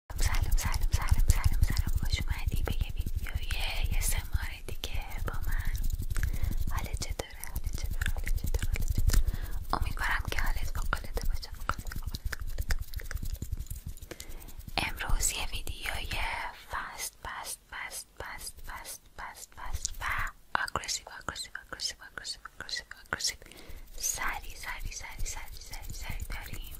سلام سلام سلام سلام سلام خوش اومدی به یه ویدیوی یه دیگه با من حالت چطوره چطوره چطوره حالت چطوره امیدوارم که حالت باشه امروز یه ویدیوی فست فست فست فست فست فست و اگریسیو سری سری سری سری سری سری داریم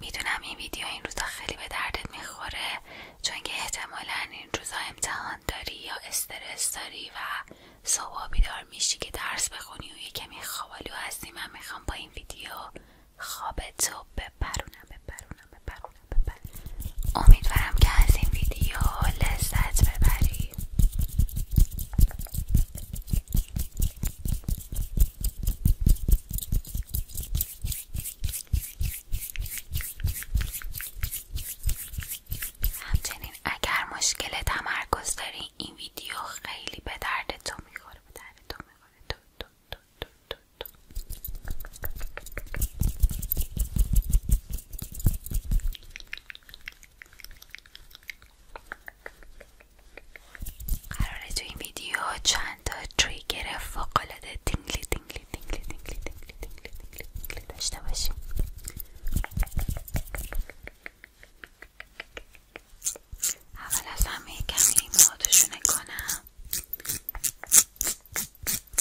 میدونم این ویدیو این روزا خیلی به دردت میخوره چون که احتمالا این روزا امتحان داری یا استرس داری و صبح بیدار میشی که درس بخونی و کمی خوابالو هستی من میخوام با این ویدیو خوابتو ببرونم ببرونم ببرونم امیدوارم که از این ویدیو لذت ببری همچنین اگر مشکل تمرکز داری این ویدیو خیلی به درد تو میخوره تو دو تو تو قراره تو این ویدیو چند تا تریگر فوق‌العاده تینگلی تینگلی تینگلی تینگلی تینگلی تینگلی داشته باشیم اول از همه کمی موهاتو کنم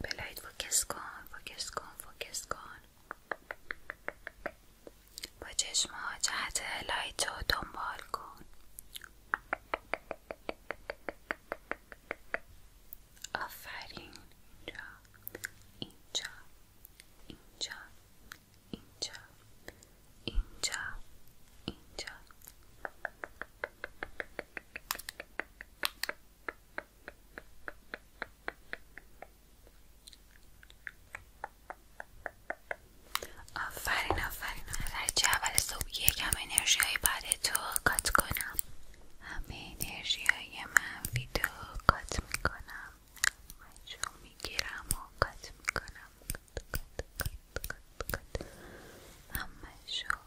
بلید فوکس کن فوکس کن فوکس کن با چشم جهت لایت رو دنبال کن آفرین اینجا اینجا اینجا اینجا اینجا آفرین آفرین از اول صبح یکم انرژی های بعد کات کنم همه انرژی های منفی تو کات میکنم مجموع میگیرم و کات میکنم کات کات شو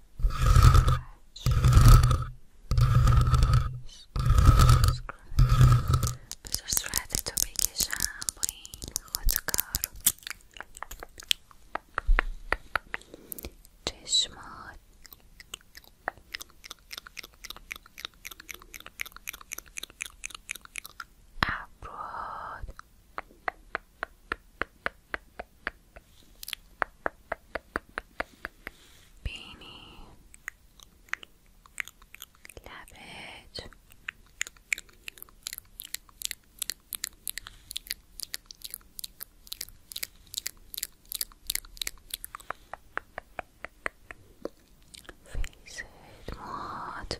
Scratch, scratch. to be shampooing hot car. چشمات ابراد beanie, cabbage, face it, what?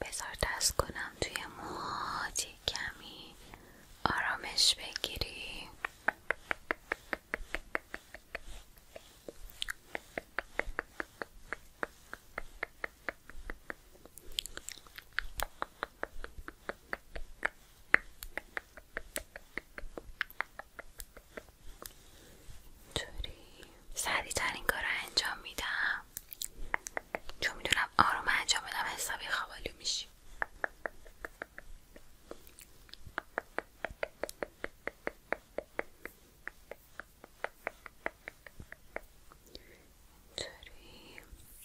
بزار دست کنم توی موهات کمی آرامش بگیری اینطوری سریع ترین کار رو انجام میدم چون میدونم آروم انجام بدم حسابی خوابالو میشی اینطوری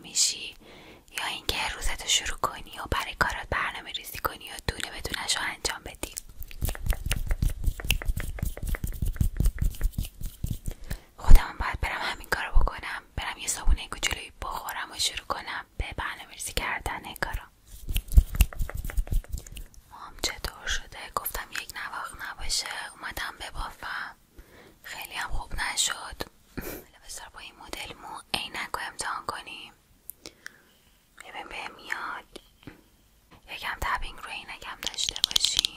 میشی یا اینکه روزتو شروع کنی و برای کارات برنامه ریزی کنی و دونه بدونش رو انجام بدی خودم باید برم همین کارو بکنم برم یه سابونه کوچولوی بخورم و شروع کنم به برنامه ریزی کردن کارا مام چطور شده؟ گفتم یک نواخ نباشه اومدم ببافم خیلی هم خوب نشد بذار با این مدل مو عینک رو امتحان کنیم ببین بهم میاد یکم تبینگ رو عینکم داشته باشیم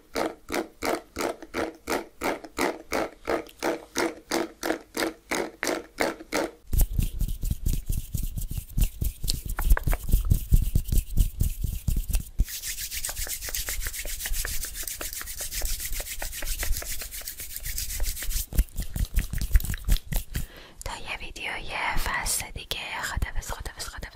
ویدیو یه ویدیوی فصل دیگه خدا خدافظ